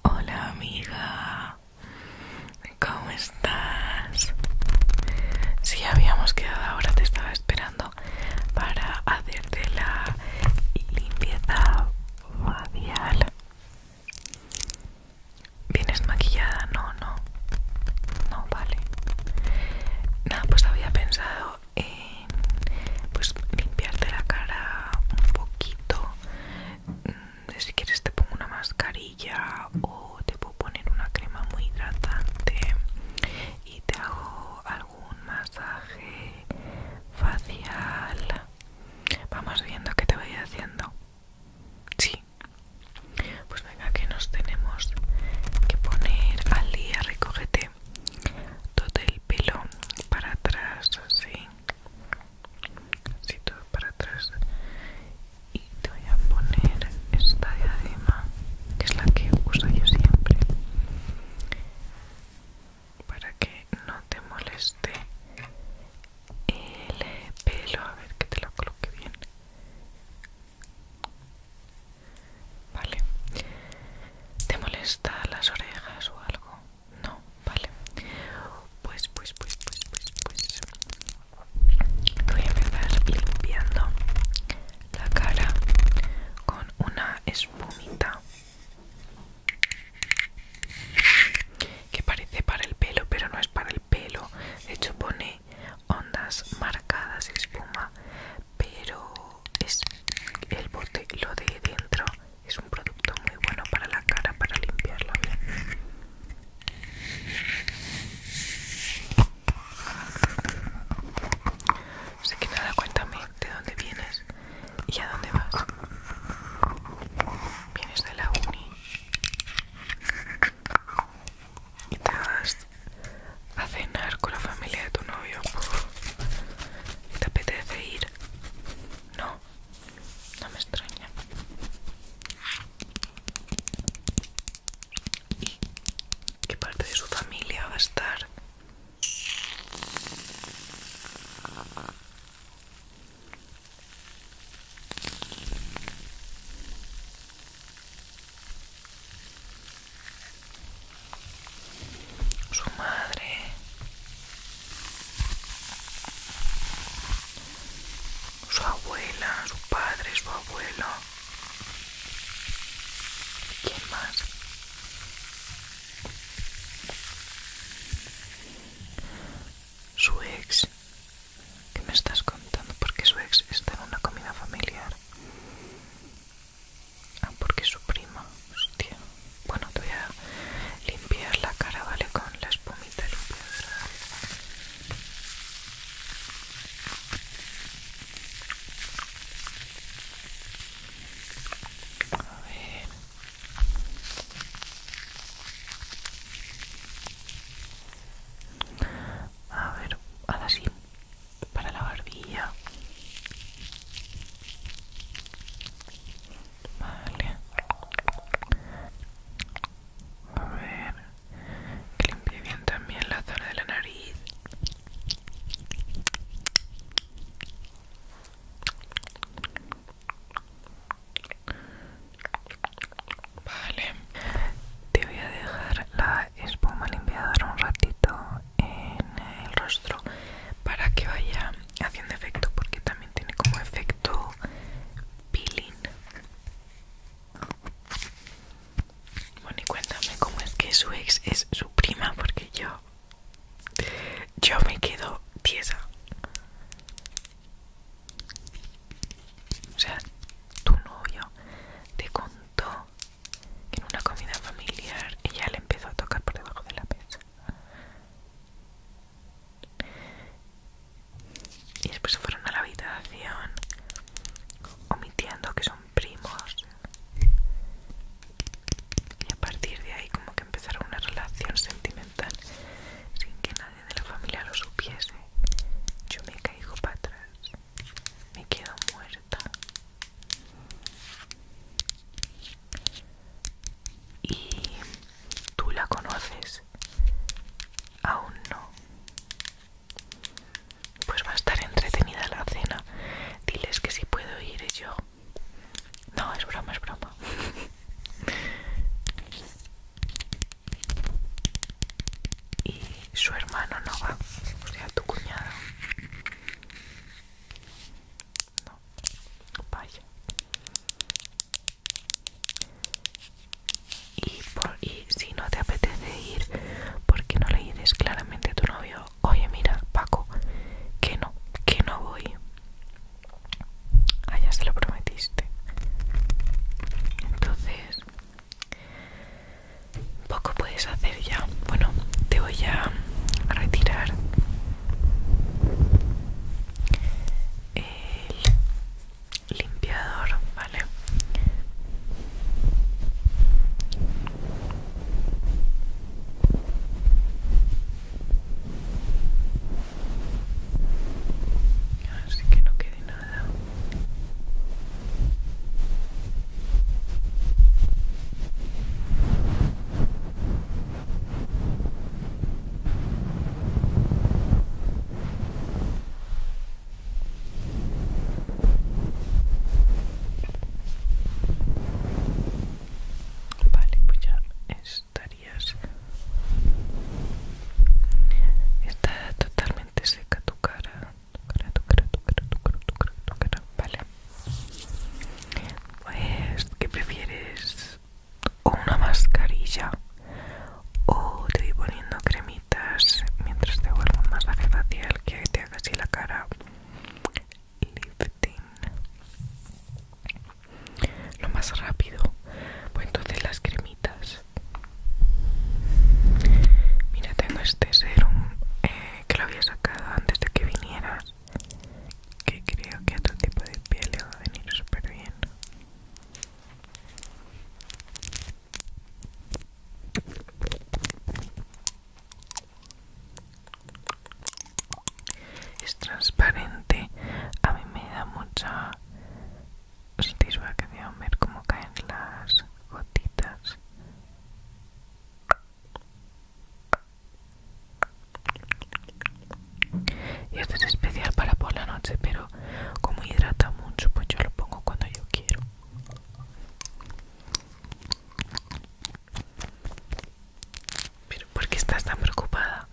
Hola amiga, ¿cómo estás? Si habíamos quedado, ahora te estaba esperando para hacerte la limpieza facial. ¿Vienes maquillada? No, no. No, vale. Nada, pues había pensado en pues limpiarte la cara un poquito. Mm, si quieres te pongo una mascarilla o te puedo poner una crema muy hidratante y te hago algún masaje facial. Vamos viendo qué te voy haciendo. Sí, pues venga, que nos tenemos que poner al día. Recógete todo el pelo para atrás, así. Así todo para atrás. Y te voy a poner esta diadema, que es la que uso yo siempre. Para que no te moleste el pelo. A ver que te lo coloque bien. Vale. ¿Te molesta las orejas o algo? No, vale. Pues, pues, pues, pues, pues, pues. Voy a empezar limpiando la cara con una espumita que parece para el pelo, pero no es para el pelo. De hecho, pone ondas marcadas, espuma, pero es el bote, lo de dentro es un producto muy bueno para la cara, para limpiarlo Así que nada, cuéntame de dónde vienes y a dónde vas. ¿Vienes de la uni? y te vas a cenar con la familia de tu novio y te apetece ir no no me extraña y qué parte de su familia va a estar su madre su abuela su padre su abuelo quién más su ex ¿Qué me estás contando? Porque su ex está en una comida familiar. Ah, porque su prima. Hostia. Bueno, te voy a limpiar la cara, ¿vale? Con la espumita limpia A ver. A ver, ahora sí para la barbilla. Vale. A ver, que bien también la zona de la nariz. Vale, te voy a dejar la espuma limpiadora un ratito en el rostro para que vaya haciendo efecto, porque también tiene como efecto peeling. Bueno, y cuéntame cómo es que su ex es su prima, porque yo. Yo me quedo tiesa. O sea, tu novio te con que en una comida familiar ella le empezó a tocar por debajo de la mesa. Y después se fueron a la habitación, omitiendo que son primos. Y a partir de ahí como que empezaron una relación sentimental sin que nadie de la familia lo supiese. Yo me caigo para atrás me quedo muerta y tú la conoces aún no pues va a estar entretenida la cena diles que si puedo ir yo no es broma es broma y su hermano no va, o sea, tu cuñado. No, vaya. Y, por, si no te apetece ir, porque no le dices claramente a tu novio, oye, mira, Paco, que no, que no voy. allá ah, se lo prometiste. Entonces, poco puedes hacer ya. Bueno, te voy a retirar el limpiador, ¿vale? Así que no quede Vale, pues ya estarías. Está totalmente seca tu cara tu vale. Pues, ¿qué prefieres? ¿O una mascarilla? ¿O te voy poniendo cremitas mientras te hago más masaje facial que te haga así la cara? Lifting. Lo más rápido. Pues entonces las cremitas Mira, tengo este serum eh, que lo había sacado antes de que vinieras. Que creo que a tu tipo de piel le va a venir súper bien. Es transparente, a mí me da mucha a ver cómo caen las gotitas. Y esto es especial para por la noche, pero como hidrata mucho, pues yo lo pongo cuando yo quiero. Pero ¿por qué estás tan preocupada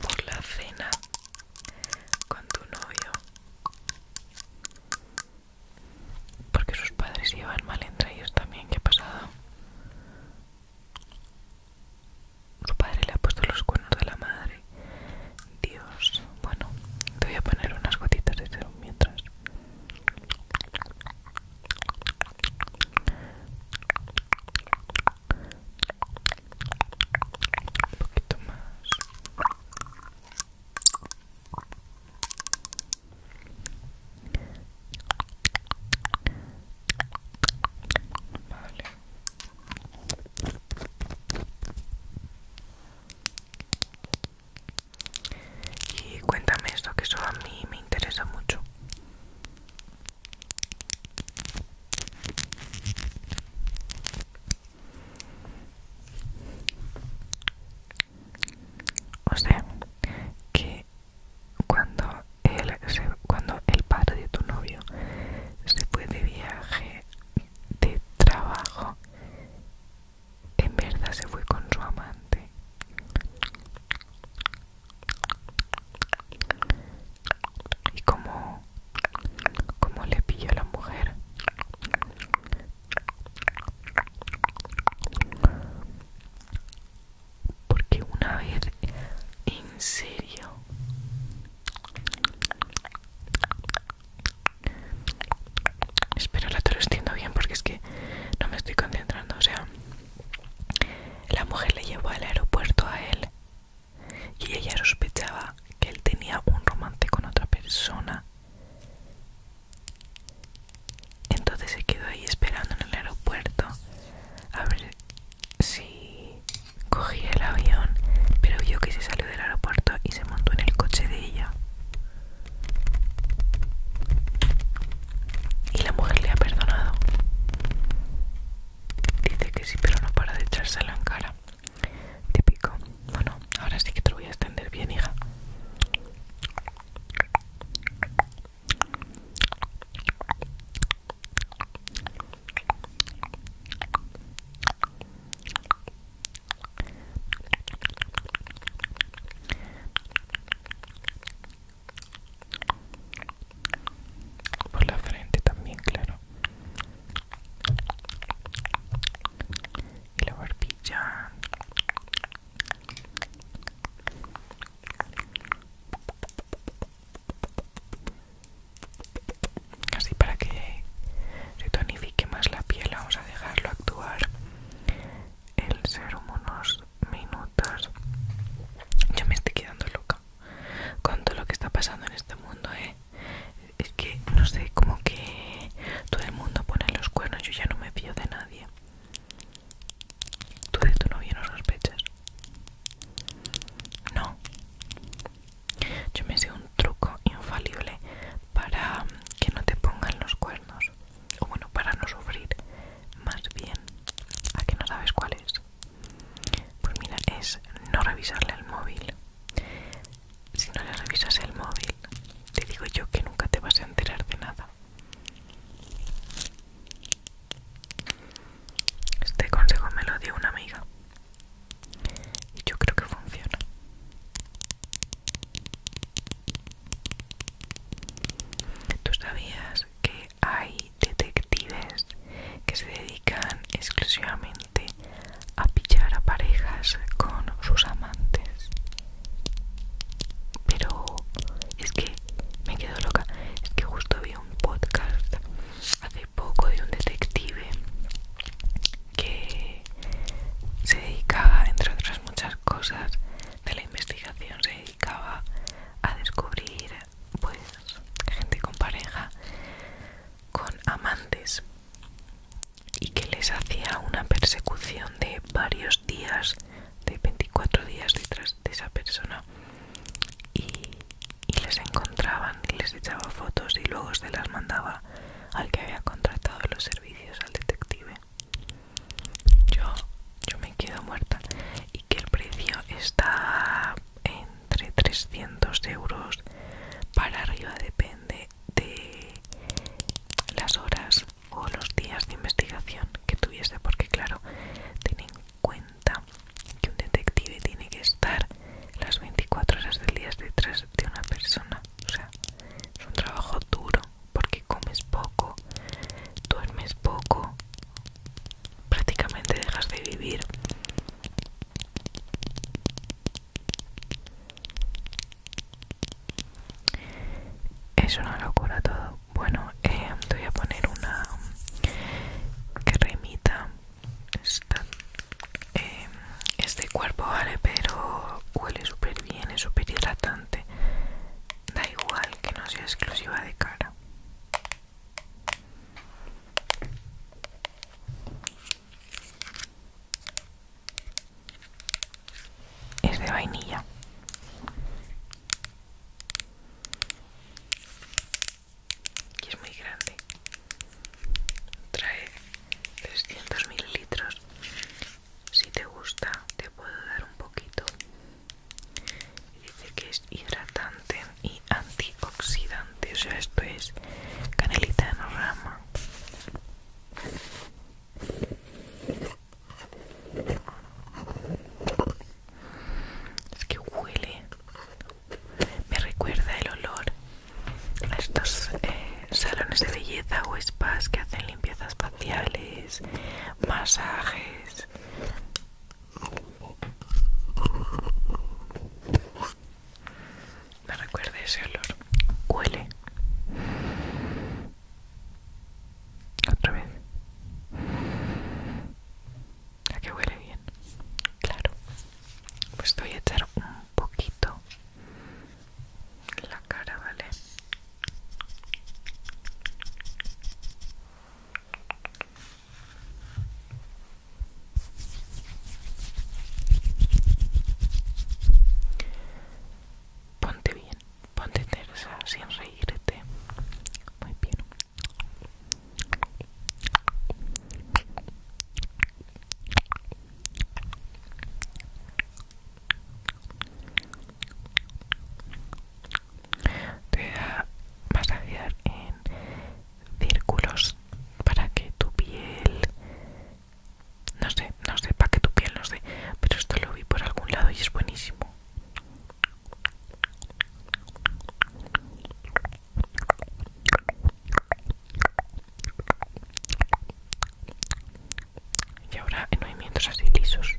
por la cena con tu novio? Porque sus padres llevan mal entre ellos también, ¿qué ha pasado? Su padre le ha puesto los cuernos de la madre. Dios, bueno, te voy a poner unas gotitas de serum mientras. Un poquito más. Y cuéntame esto, que eso a mí me interesa mucho. O sea, que cuando cuando el padre de tu novio se fue de viaje de trabajo, en verdad se fue con su amante. Y como, como le pilló a la mujer, porque una vez, en serio, espero la te lo bien porque es que no me estoy concentrando. O sea, la mujer le llevó al aeropuerto a él y ella sospechaba que él tenía un romance con otra persona entonces se quedó ahí esperando en el aeropuerto a ver si cogía el avión, pero vio que se salió del aeropuerto y se montó en el coche de ella. Y la mujer le ha perdonado. Dice que sí, pero no para de echársela en cara típico. Bueno, ahora sí que te lo voy a extender bien, hija. Por la frente también, claro y la barbilla. Así para que se tonifique más la piel, vamos a dejarlo actuar el serum unos minutos. Yo me estoy quedando loca con todo lo que está pasando en este mundo, ¿eh? es que no sé como que todo el mundo pone los cuernos yo ya no me fío de nadie tú de tu novio no sospechas no yo me sé un truco infalible para que no te pongan los cuernos o bueno para no sufrir más bien a que no sabes cuál es pues mira es no revisarle el móvil si no le revisas el móvil, te digo yo que nunca te vas a enterar de nada. Este consejo me lo dio una amiga y yo creo que funciona. ¿Tú sabías que hay detectives que se dedican exclusivamente a pichar a parejas con sus amantes. Pero es que me quedo loca. Es que justo vi un podcast hace poco de un detective que se dedicaba, entre otras muchas cosas, de la investigación se dedicaba a descubrir pues gente con pareja con amantes y que les hacía una persecución de varios días, de 24 días detrás de esa persona y, les encontraban y les echaba fotos y luego se las mandaba al que había contratado los servicios, al detective. Yo, yo me quedo muerta y que el precio está entre 300 euros para arriba, depende de las horas o los días de investigación que tuviese porque claro ten en cuenta que un detective tiene que estar las 24 horas del día detrás de una persona o sea es un trabajo duro porque comes poco duermes poco prácticamente dejas de vivir no lo locura todo. Bueno, eh, te voy a poner una que remita. Eh, este cuerpo, vale, pero huele súper bien, es súper hidratante. Da igual que no sea exclusiva de cara es de vainilla y es muy grande trae 300 mililitros si te gusta te puedo dar un poquito dice que es hidratante y antioxidante o sea esto es canelita en rama es que huele. Me recuerda el olor a estos eh, salones de belleza o spas que hacen limpiezas faciales, masajes me recuerda ese olor. Huele. Otra vez. ya que huele bien. Claro. Pues voy a echar un poquito la cara, ¿vale? Ponte bien, ponte tersa sin reírte. Muy bien. Te voy a masajear en círculos para que tu piel no sé, no sé, para que tu piel, no sé. Pero esto lo vi por algún lado y es buenísimo. Y ahora en movimientos así lisos.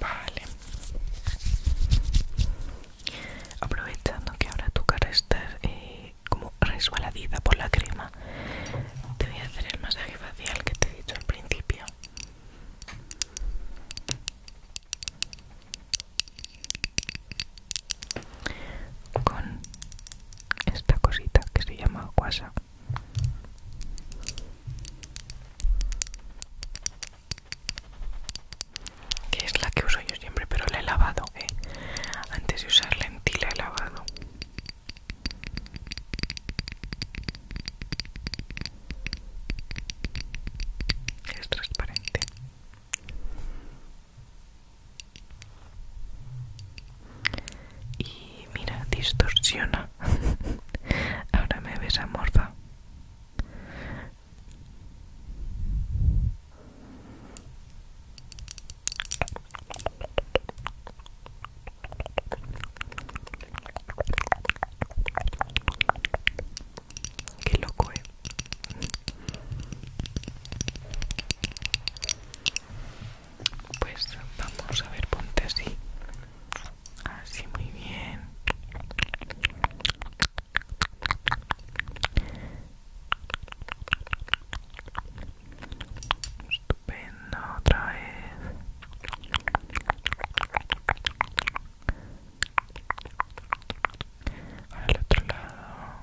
Vale. Aprovechando que ahora tu cara está eh, como resbaladita por la crema, te voy a hacer el masaje facial que te he dicho al principio. Con esta cosita que se llama guasa que es la que uso yo siempre pero la he lavado ¿eh? antes de usarla en ti la he lavado es transparente y mira distorsiona ahora me ves amorfa Qué loco, eh. Pues vamos a ver, ponte así así muy bien estupendo otra vez al otro lado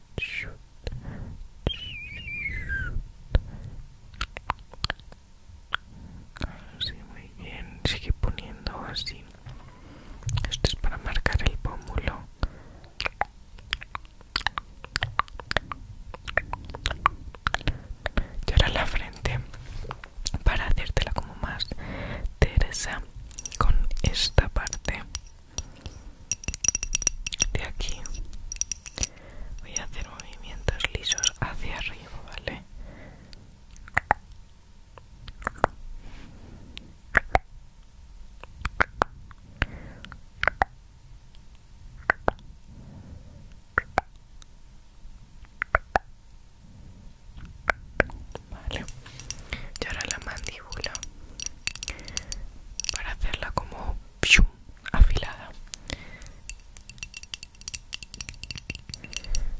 Así, muy bien. Sigue poniendo así. Esto es para marcar el pómulo. Y ahora la frente para hacértela como más teresa con esta parte de aquí voy a hacer movimientos lisos hacia arriba, ¿vale? Vale, y ahora la mandíbula para hacerla como afilada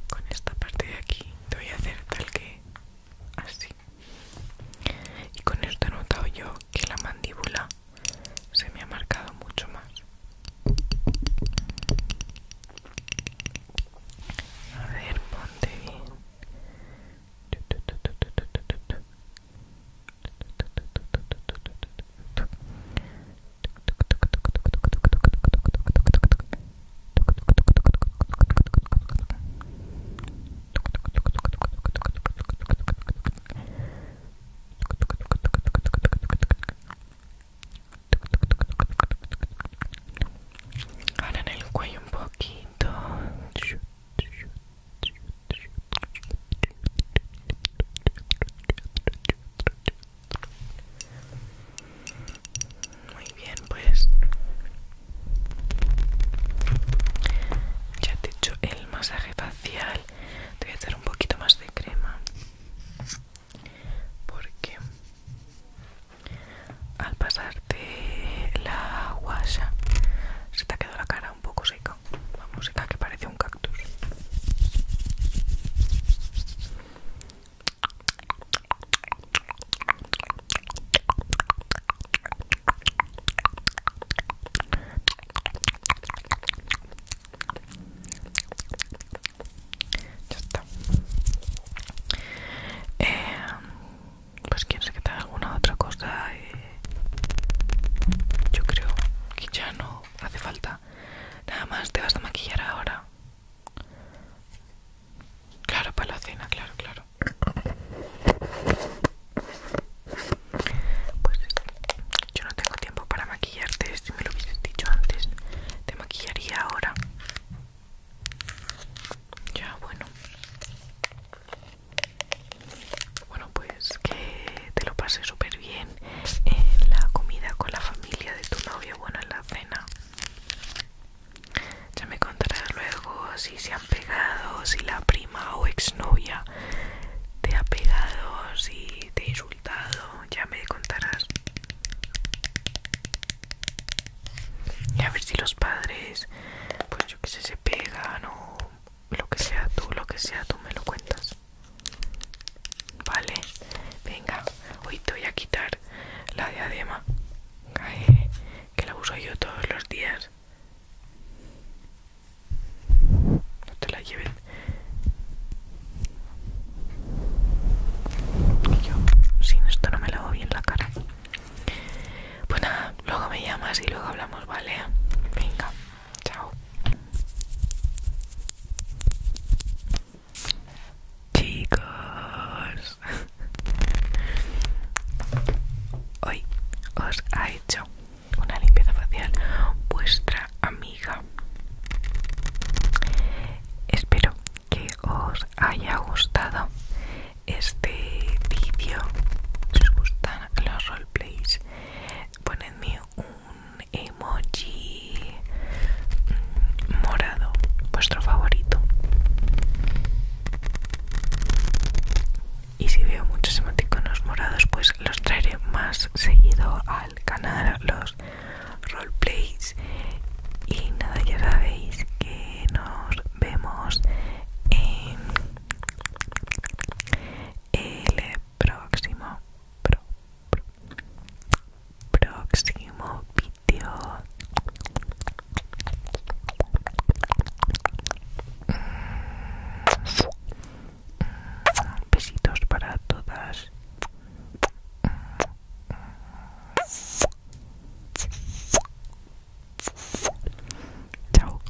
con esta parte de aquí te voy a hacer tal que así y con esto he notado yo que la mandíbula se me ha marcado mucho más a ver ponte bien Ahora en el cuello un poquito. Muy bien, pues ya te he hecho el masaje facial. Te voy a echar un poquito más de crema porque al pasarte la guasa se te ha quedado la cara un poco seca, vamos música que parece un cactus. Ya está. Eh, pues sé que te alguna otra cosa. Eh, yo creo que ya no hace falta. Nada más te vas a maquillar ahora. Claro, para la cena, claro, claro. Pues yo no tengo tiempo para maquillarte, si me lo hubieses dicho antes, te maquillaría ahora. Ya, bueno. Bueno, pues que te lo pases súper bien en la comida con la familia de tu novia bueno, en la cena. Ya me contarás luego si se han pegado, si la prima o exnovia te ha pegado, si te ha insultado, ya me contarás. Y a ver si los padres, pues yo que sé, se pegan o, lo que sea tú, lo que sea tú me lo cuentas. Vale, venga, hoy te voy a quitar la diadema que la uso yo todos los días. No te la lleven. Yo sin esto no me lavo bien la cara. Pues nada, luego me llamas y luego hablamos, ¿vale? Venga. Chao. Chicos, hoy os ha hecho una limpieza facial vuestra amiga. Espero que os haya gustado este vídeo. Si os gustan los roleplays, ponedme un emoji mm, morado, vuestro favorito. Y si veo muchos emoticonos morados, pues los traeré más seguido al canal, los roleplays. Y nada, ya sabéis que nos vemos en el próximo, próximo vídeo. Mm, besitos para todas. Mm. Chao.